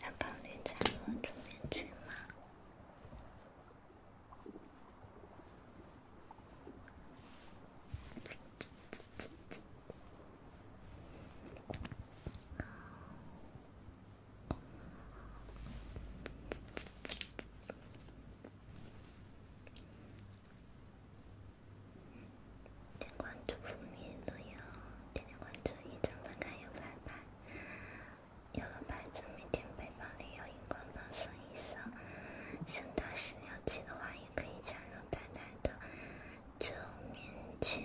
要帮你唱歌、煮面去吗？点关注不迷路哟，点点关注，一睁翻开有牌牌，有了牌子，每天背包里有荧光棒送一送，想打湿尿气的话，也可以加入淡淡的皱面裙。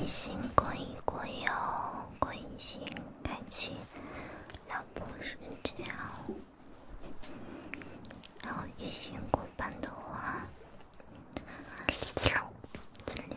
一心，过一过哟，过一心，开启老婆时间。然后一心过半的话，十六，十六。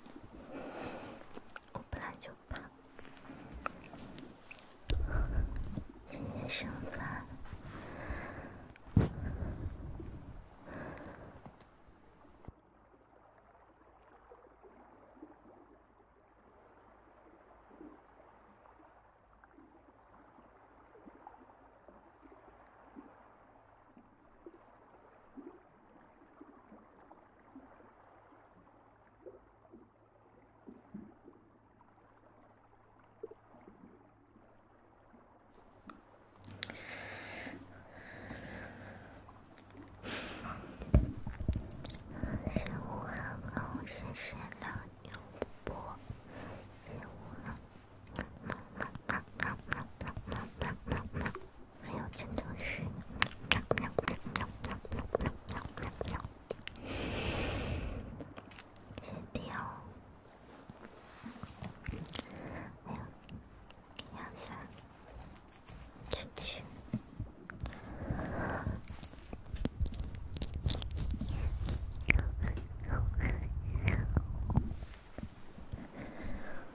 我本来就胖，现在生了。心无痕，心是那油布，心无痕。还有陈宗旭，喵喵喵喵喵喵喵喵喵，先第二，还有杨翔，出去。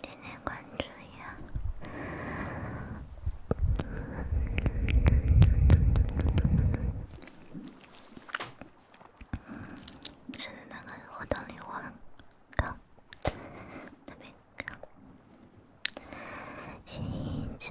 点点关注呀！是在哪个活动里玩？看，那边看。洗澡。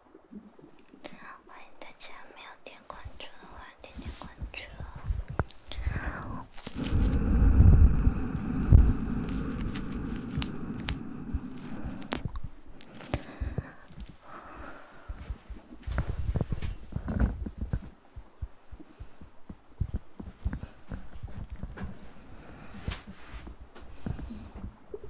欢迎大家，没有点关注的话，点点关注哦。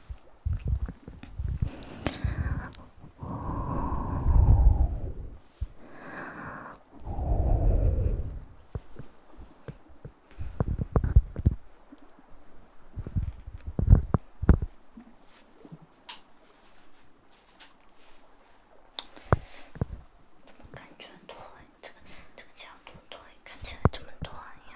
怎么感觉腿这个这个角度腿看起来这么短呀？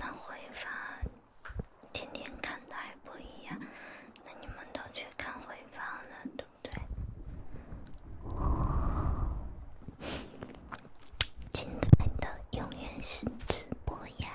那回放，天天看的还不一样。那你们都去看回放了，对不对？精彩的永远是直播呀！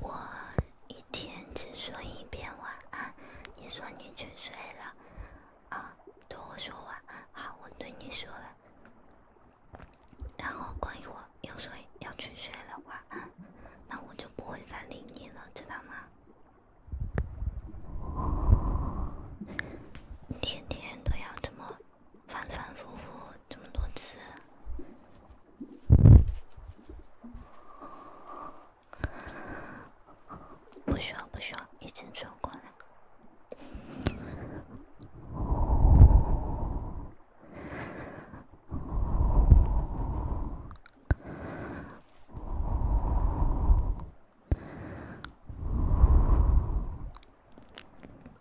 我一天只说一遍晚安，你说你去睡了啊，对我说晚安，好，我对你说了。然后过一会又说要去睡了，晚安，那我就不会再理你了，知道吗？天天都要这么。反反复复，这么多次，不需要，不需要，一直穿过来。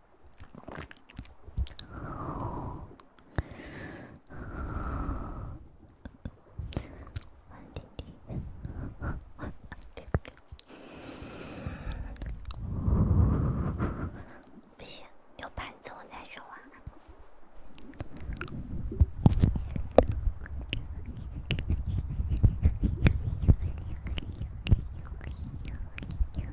安迪，安迪，不行，有盘子我再说完。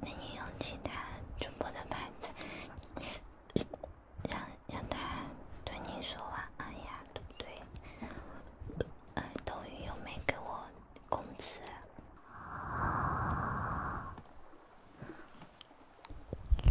那你用其他主播的牌子，让让他对你说晚安呀，对不对？呃，抖音又没给我工资。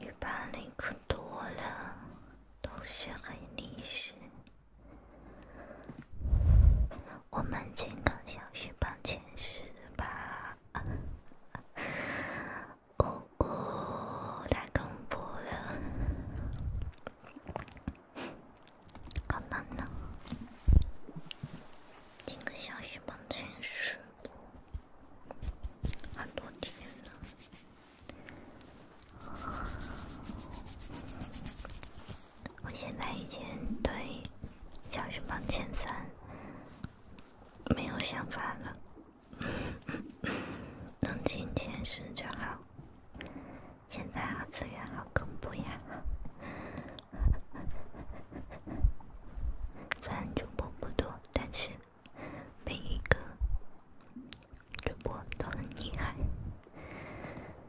一百零可多了，都是很历史。我们几个小时榜前十吧，哦哦，太恐怖了，好难呢。几个小时榜前十，很多天了。我现在已经对小什么前三没有想法了，能进前十就好。现在二次元好恐怖呀！虽然主播不多，但是每一个主播都很厉害。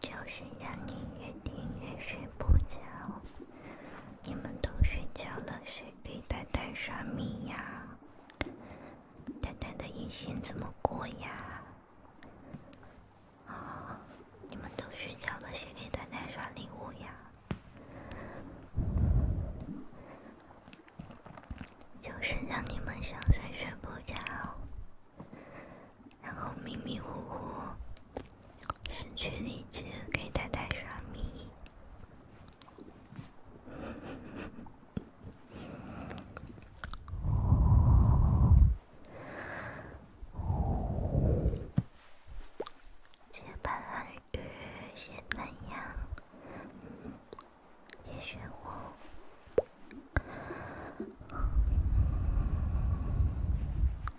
就是让你越听越睡不着。你们都睡觉了，谁给呆呆刷米呀？呆呆的夜线怎么过呀？你们都睡觉了，谁给丹丹刷礼物呀？就是让你们想睡睡不着。然后迷迷糊糊，失去理智给太太刷米，接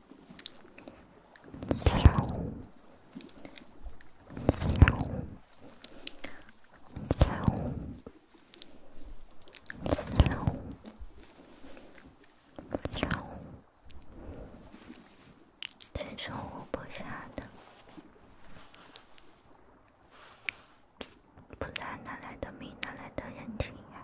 真生活不下的，不然哪来的命，哪来的人情啊？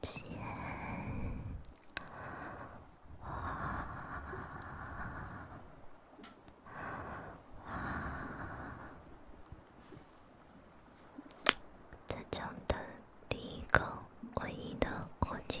结婚，这种的第一个唯一的婚戒。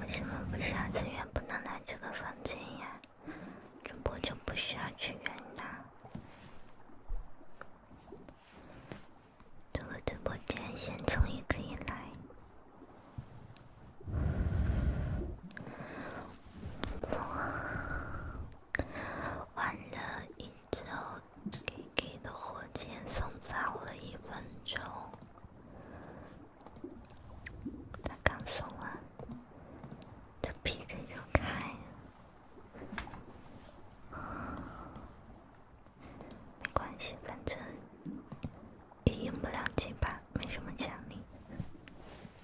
为什么不需要资源不能来这个房间呀？主播就不需要资源呢？这个直播间现在终于可以来。玩了一周，P K 的火箭送早了一分钟，他刚送完，这 P K 就开，没关系，反正也赢不了几把，没什么奖励。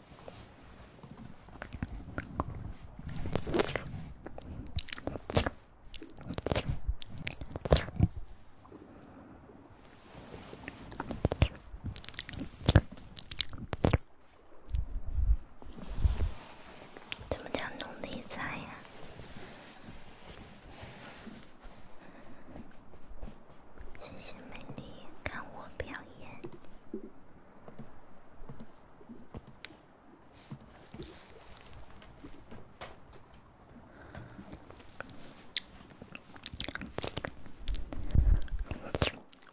什么叫奴隶在呀？谢谢美丽看我表演。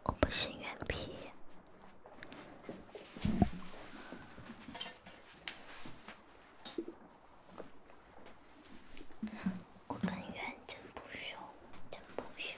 我不信原皮，我跟原真不熟，真不熟。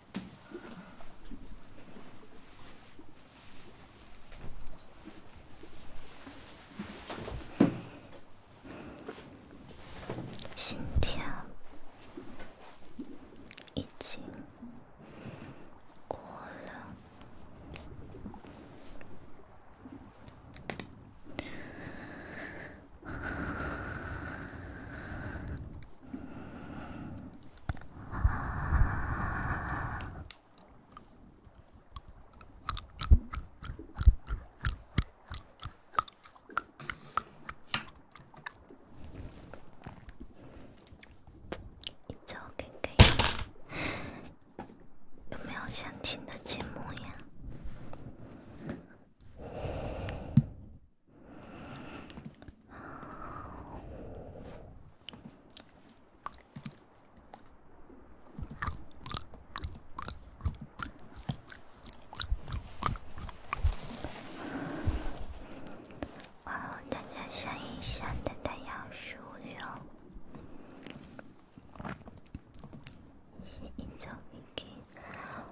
心跳已经过了。有没有想听的节目呀？大家想一想，它要使用一种武器。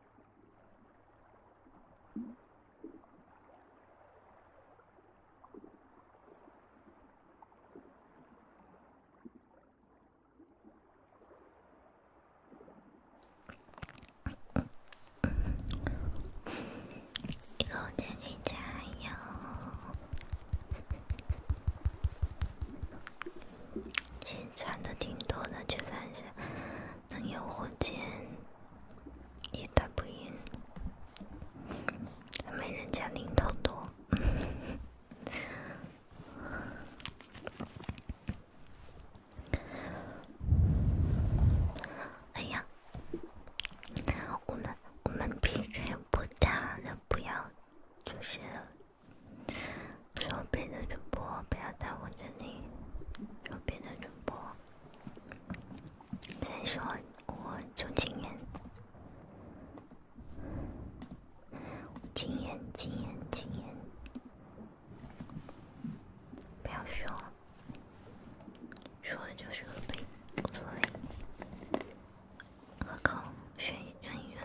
这个真的长哟，先长的挺多的，去看一下。能有火箭也打不赢，没人家零头多。哎呀，我们我们 PK 不打，了，不要就是。说别的主播不要耽我这里说别的主播再说我就禁言、禁言、禁言、禁言。不要凶，说的就是我呗，无所谓，我靠，选一选一选。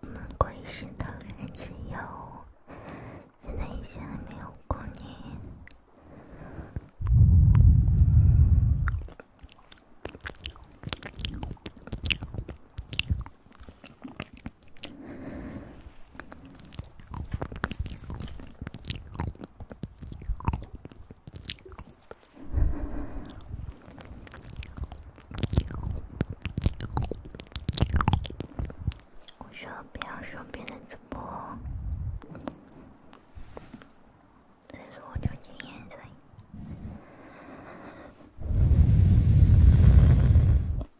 我们关心的人只有那些没有过你。我学不要学别人直播，这是我最近颜色。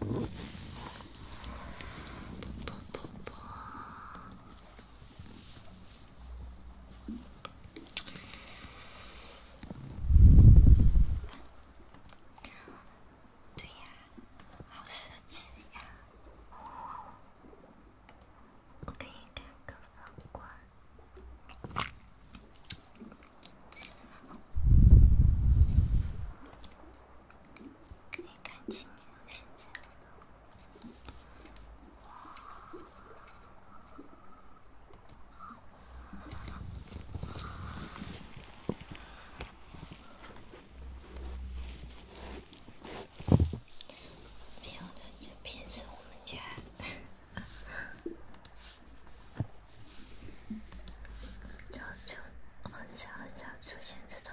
不不不不。对呀，好设计呀！我给你开个房关。可以看清，原来是这样的。出现这种。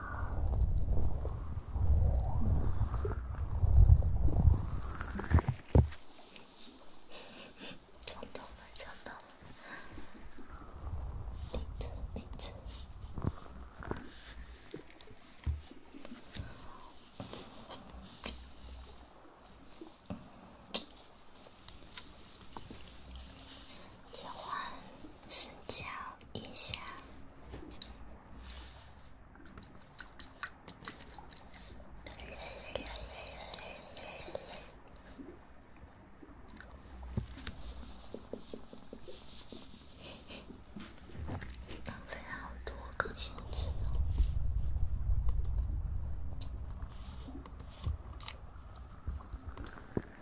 从头开始倒，李子，李睡觉一下，浪费好多更新词。没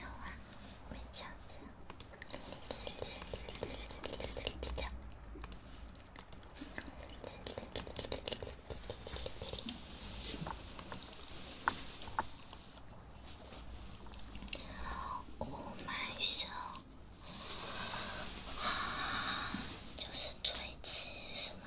有啊，我没笑。我买笑。就是最后一次，是吗？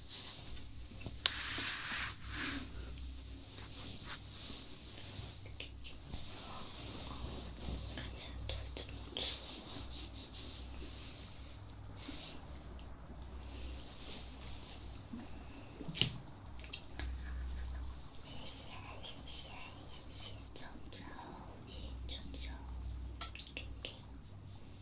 看起来肚子。谢谢谢谢谢谢，周周，谢谢周周。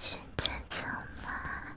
现在怎么办？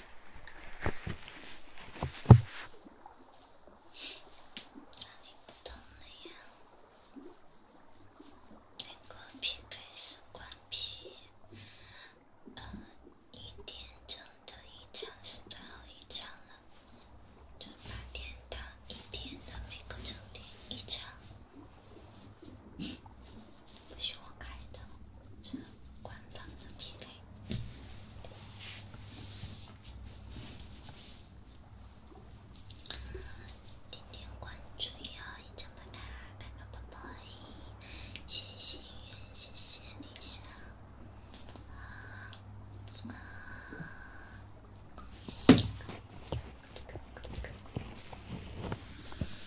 哪里不同了呀？每个 PK 是关 P，呃，一天整的一场是最后一场了，就白天到一天的每个整点一场。不是我开的，是官方的 PK。点点关注哟，一张白卡，开个泡泡而已。谢谢心愿，谢谢你下。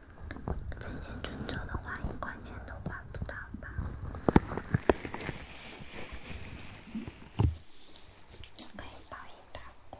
分钱最少的话，一块钱都花不到吧？可以报一大锅。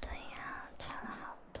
对呀，差了好多。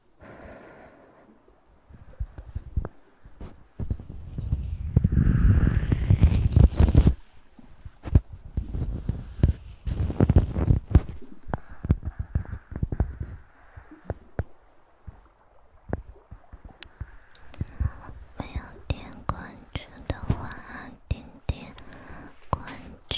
没有点关注的话，点点关注。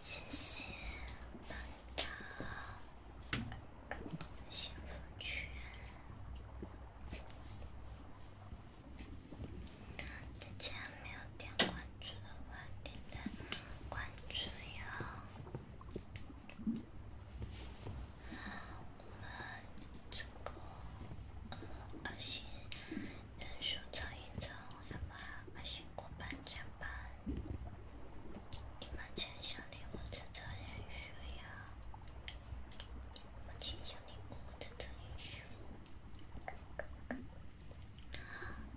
谢谢班长的先锋群。大家没有点关注的话，点点关注哟。我们这个呃阿星人数超一超，要不阿星过半加班。你们签下礼物的成员需要，你们签下礼物的成员。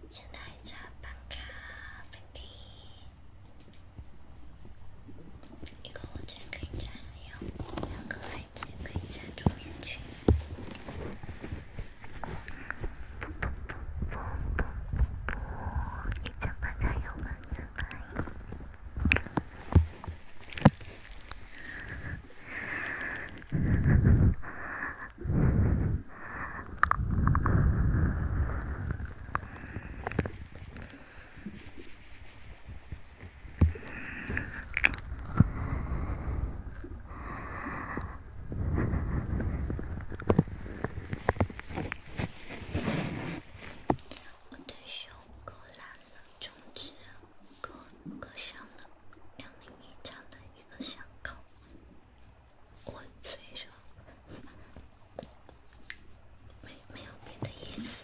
应该叫板卡，板弟。一个火箭可以加两个，两个火箭可以加桌面群。不不不不不不，一张板卡有吗？有吗？我的胸口蓝了，终止。一个一个巷子，两厘米长的一个巷口，我所以说，没没有别的意思。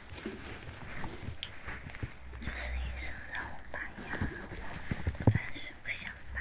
这是医生让我拔牙，我暂时不想拔。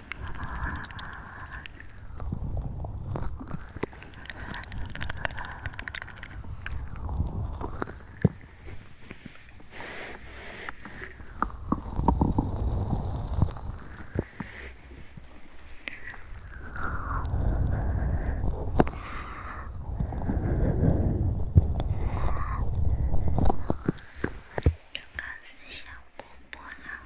这个是效果不好。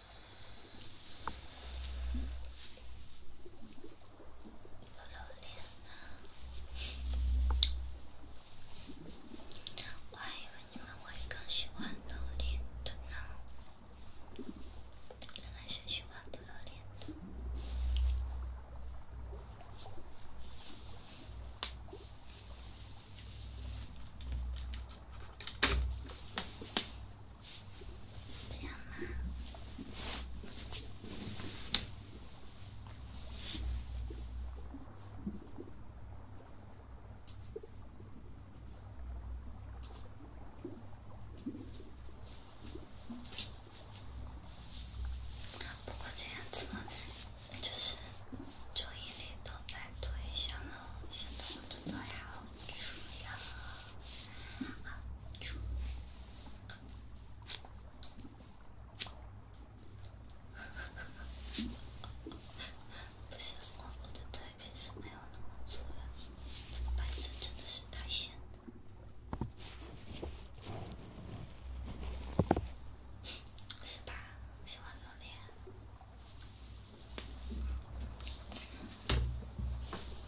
不露脸的，我还以为你们会更喜欢露脸的呢。原来是喜欢不露脸的。这样吗？不过这样子就是注意力都在对想的东西，都做不好。主要啊，主要，哈哈哈哈哈！不是，我的腿皮是没有那么粗的，这个白色真的是太显，是吧？我喜欢榴莲。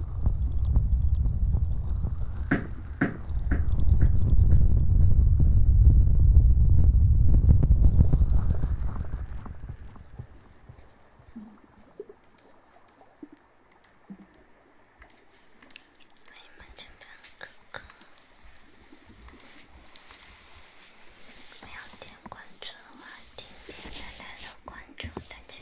你们这边哥哥，没有点关注的话，点点蓝蓝的关注，大家。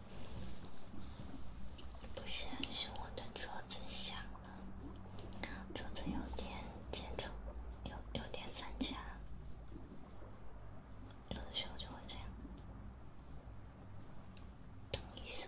不是，是我的桌子响了，桌子有点接触，有有点散架，有的时候就会这样，咚一声。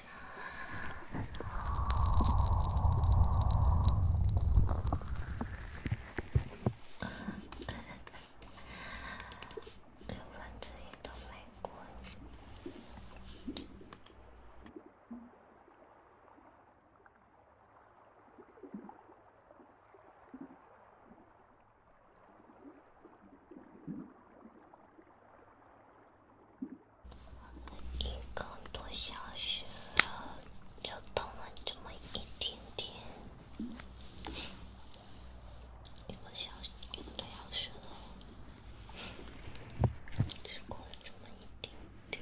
六分之一都没过。一个多小时了，就动了这么一点点。一个小时，一个多小时了，只过了这么一丁点。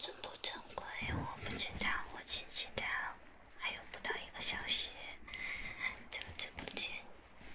这不正规，我不紧张，我轻轻的，还有不到一个小时，这个真不紧。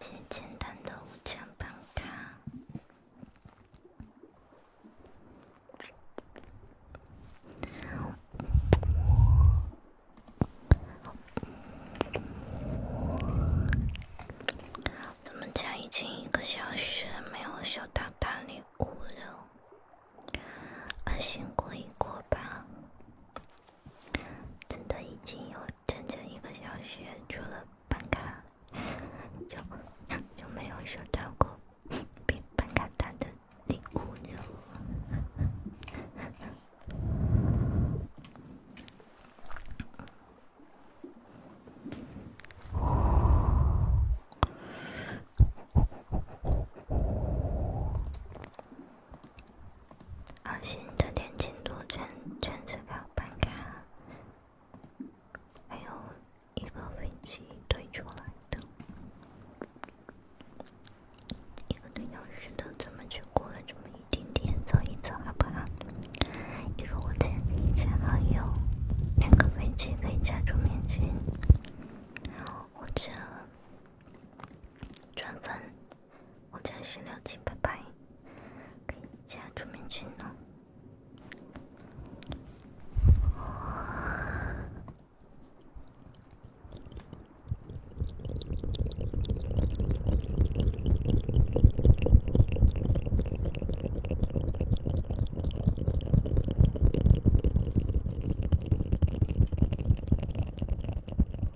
最简单的五千办卡。我，咱们家已经一个小学没有收到大礼物了，安心过一过吧。真的已经有整整一个小时，除了办卡，就就没有收到过比办卡大的礼物了。阿星，这点进度全全是靠办卡，还有一个飞机推出来的，一个推鸟屎的，怎么就过了这么一点点？走一走好不好？一个五天一千好友，两个飞机可以加入明星，或者转我叫十六七，拜拜，可以加朱敏君哦。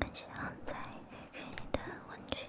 更想在黑黑的温泉。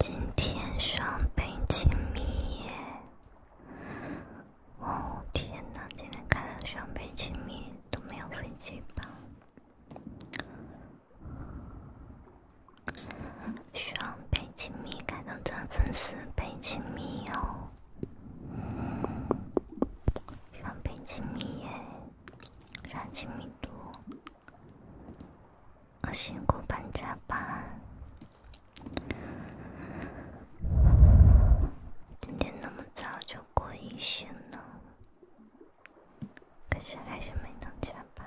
今天双倍亲密夜。哦天哪！今天开的双倍亲密都没有飞机吧？双倍亲密，开通转粉丝倍亲密哦！双倍亲密耶！双亲密度，我辛苦搬家吧？今天那么。早就过一线了，可是还是没能加班。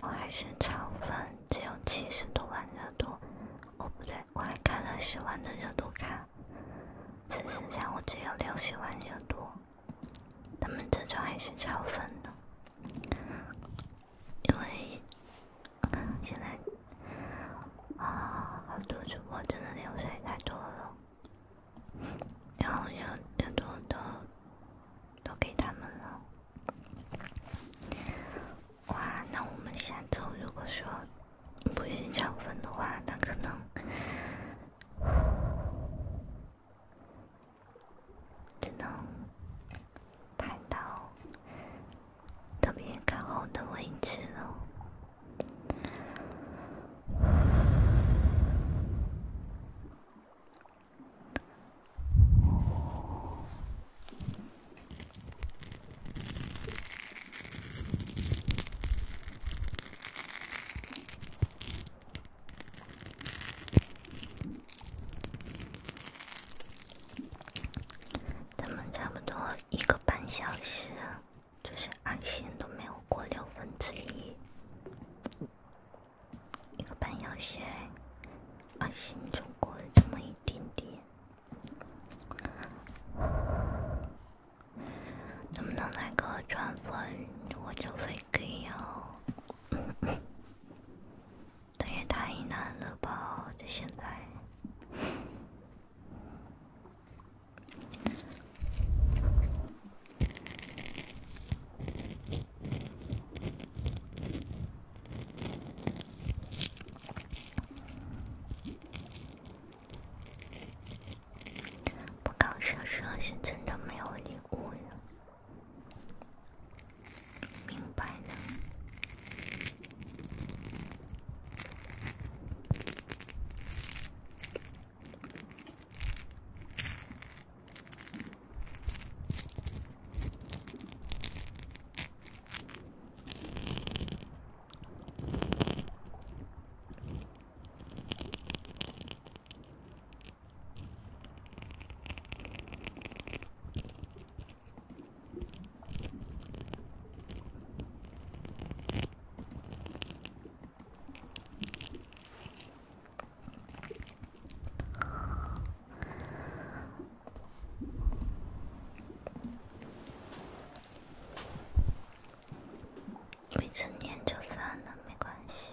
我还是超粉，只有七十多万热度。哦，不对，我还开了十万的热度卡，只剩下我只有六十万热度。他们这种还是超粉的，因为现在啊，好多主播真的流水太多了，然后又又多都都给他们了。哇，那我们下周如果说不是超粉的话，那可能。只能拍到特别靠后的位置了。咱们差不多一个半小时，就是爱心都没有过六分之一。一个半小时，爱心就过这么一点点。能不能来个转粉，我就非。可以哦，这也太难了吧！这现在。不搞生日是真的没有礼物了，明白呢？未成年就算了，没关系。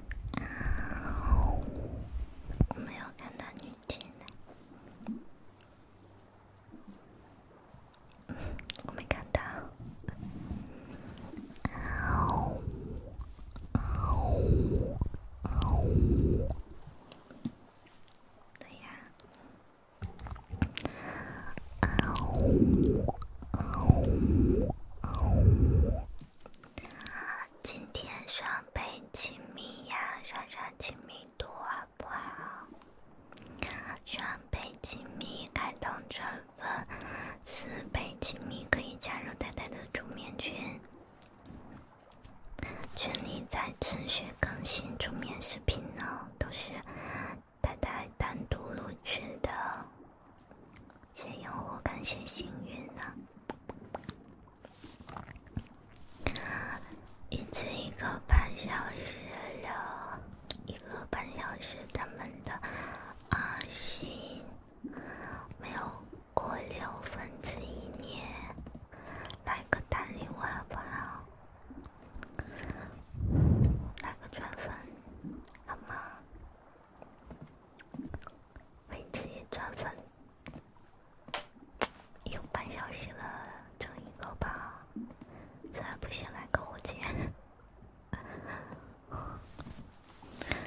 啊！我没有看到你进来，我没看到。啊！啊！啊！对呀。啊！啊！啊！今天双倍亲密呀，刷刷亲密度好不好？双倍亲密开通这份，四倍亲密可以加入太太的煮面群，群里在持续更新煮面视频呢，都是太太单独录制的。谢谢用户，感谢幸运呢。一次一个半小时了，一个半小时，咱们的啊信没有过六分之一年，来个大礼物好不好？来个转粉，好吗？为自己赚分，有半小时了，整一个吧，实在不行来个火箭。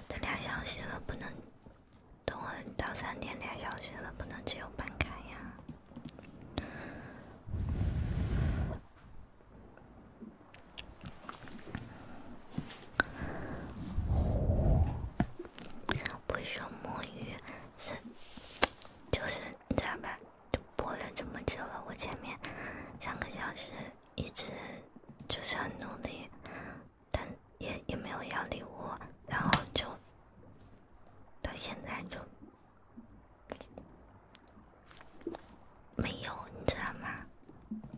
这俩小时了不能，等我到三点俩小时了不能只有半卡呀。不说摸鱼，是就是你知道吧？就播了这么久了，我前面三个小时一直就是很努力，但也也没有要礼物，然后就到现在就没有，你知道吗？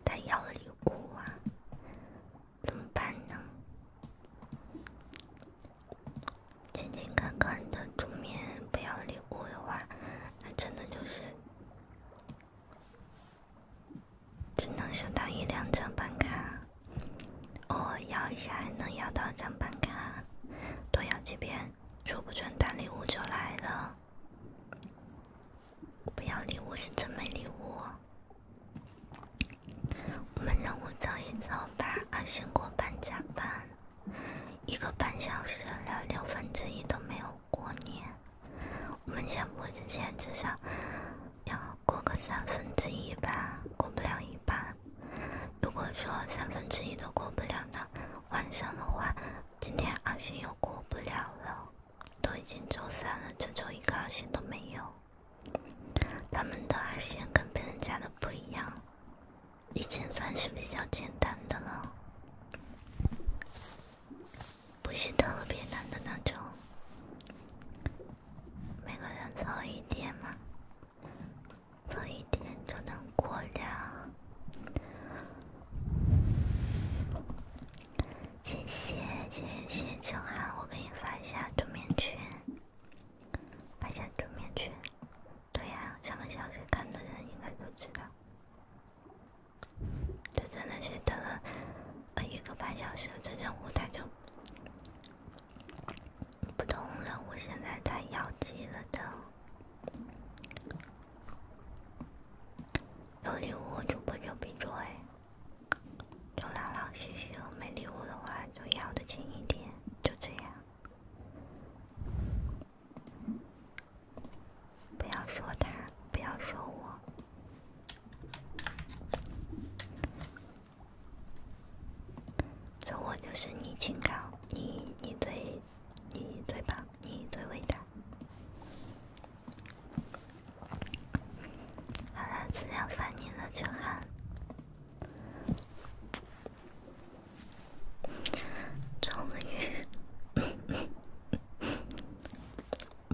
他要了礼物啊！怎么办呢？勤勤恳恳的出面不要礼物的话，那真的就是只能收到一两张办卡。偶尔摇一下还能摇到一张办卡，多摇几遍，说不准大礼物就来了。不要礼物，是真没礼物。我们任务早一早吧，阿星。过半加班，一个半小时聊六分之一都没有过年。我们下播之前至少要过个三分之一吧，过不了一半。如果说三分之一都过不了呢，晚上的话，今天阿星又过不了了。都已经周三了，这周一个二线都没有。他们的二线跟别人家的不一样，已经算是比较简单的了，不是特别难的那种。每个人早一点嘛，早一点就能过掉。谢谢谢谢秋寒，我给你发一下桌面群，发一下桌面群。对呀，上个小时看的人应该都知道。这真的是等了一个半小时，这任务它就不动了，我现在太幺级了等有礼物，主播就必做哎。周朗朗，谢谢。没礼物的话，就要的轻一点，就这样。不要说他，不要说我。说我就是你清高，你你最你最棒，你最伟大。好了，资料发您了，就好。终于，我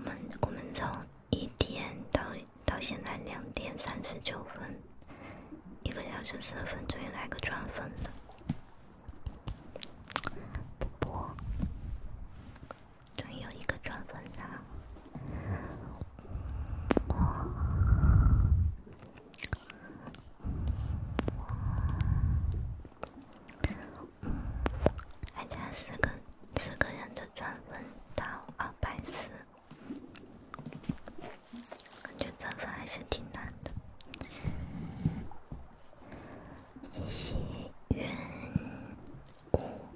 们我们从一点到到现在两点三十九分，一个小时四分，终于来个转粉了，不播。终于有一个转粉了！还差四个四个人的粉到二百四，感觉粉还是挺难的。谢谢缘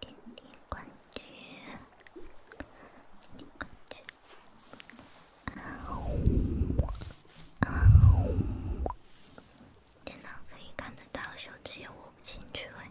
点点关注，你关注。电脑可以看得到，手机也握不进去哎。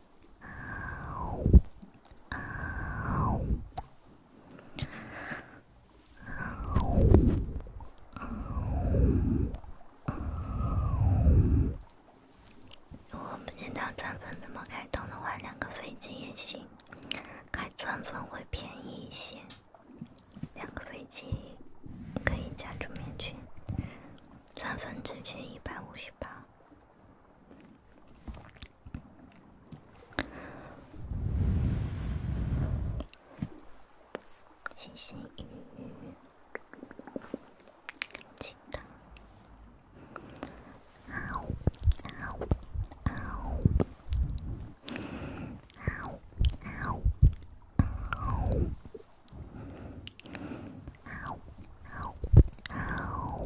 如果不知道钻粉，怎么开通的话，两个飞机也行。开钻粉会便宜一些，两个飞机可以加出面群，钻粉直接一百五十八。咸咸鱼，干净的。好，好，好，好，好，好，好，好，好。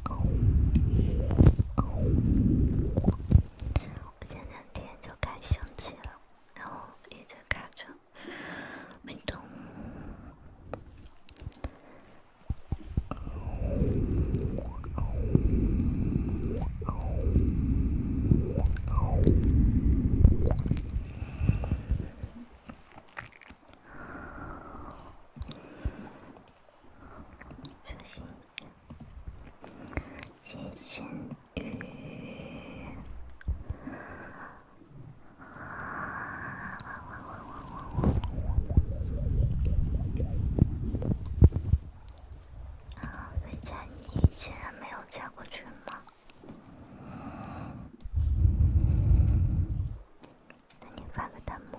我前两天就开始生了，然后一直开着没动。小心。金贤宇，啊！汪汪汪汪汪汪！啊，飞姐，你竟然没有加过群吗？那你发个弹幕。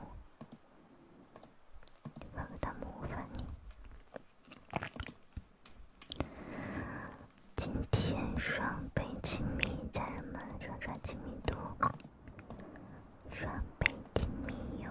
让他们模仿你。今天双倍亲密，家人们，双刷亲密度，双倍亲密哟！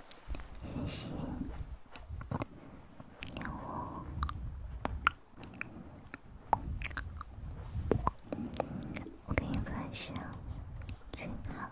行行，我给你分享最好。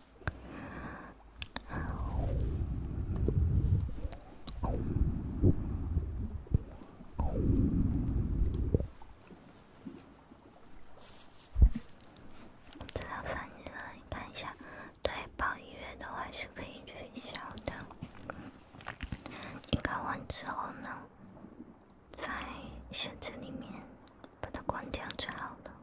我要发你了，你看一下。对，包音乐都还是可以取消的。你搞完之后呢，在设置里面把它关掉，最好了。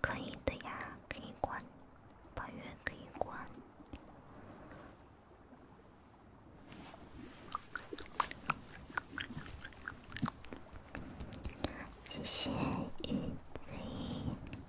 可以的呀，可以关，把月可以关。谢谢雨林。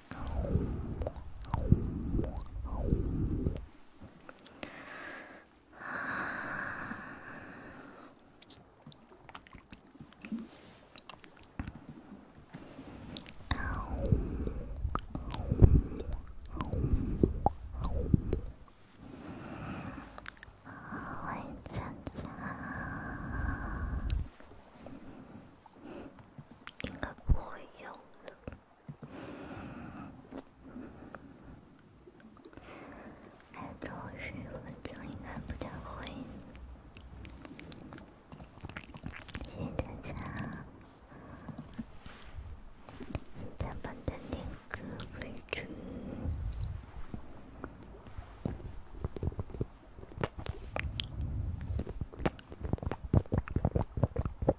我感觉应该不会有了。还有最后十分钟，应该不太会。现在想，再把那个回去。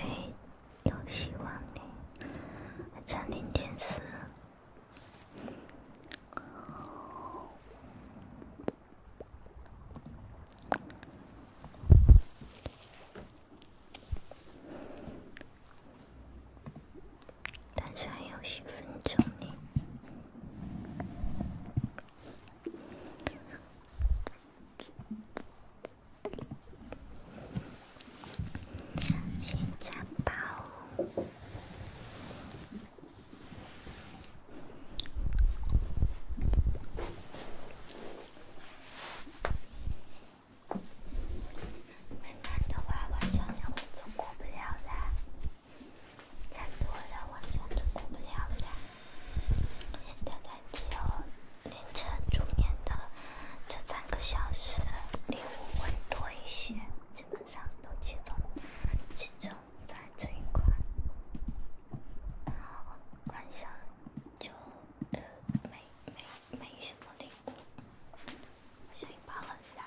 哎，有希望呢，差零点四，但是还有十分钟呢。七七我就过不了了；，差多了，我小过不了了。人家只有凌晨助眠的这三个小时的礼物会多一些，基本上都集中在集中在这一块，然后晚上就没没没什么礼物，声音大了呀。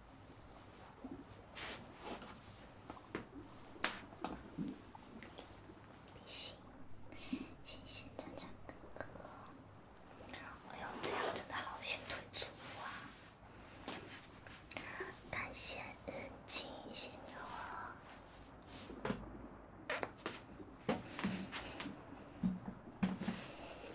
别醒，清醒，唱唱哥哥。哎呦，这样真的好显腿粗啊！感谢清醒妞。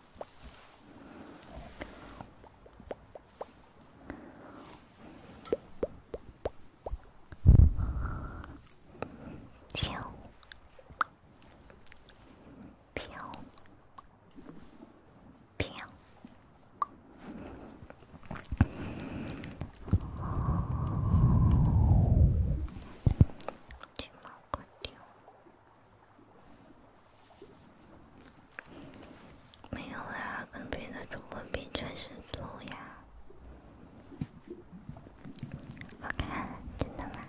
喵，喵，喵，寂寞孤独。没有啦，跟别的主播比确实土呀。好看，真的吗？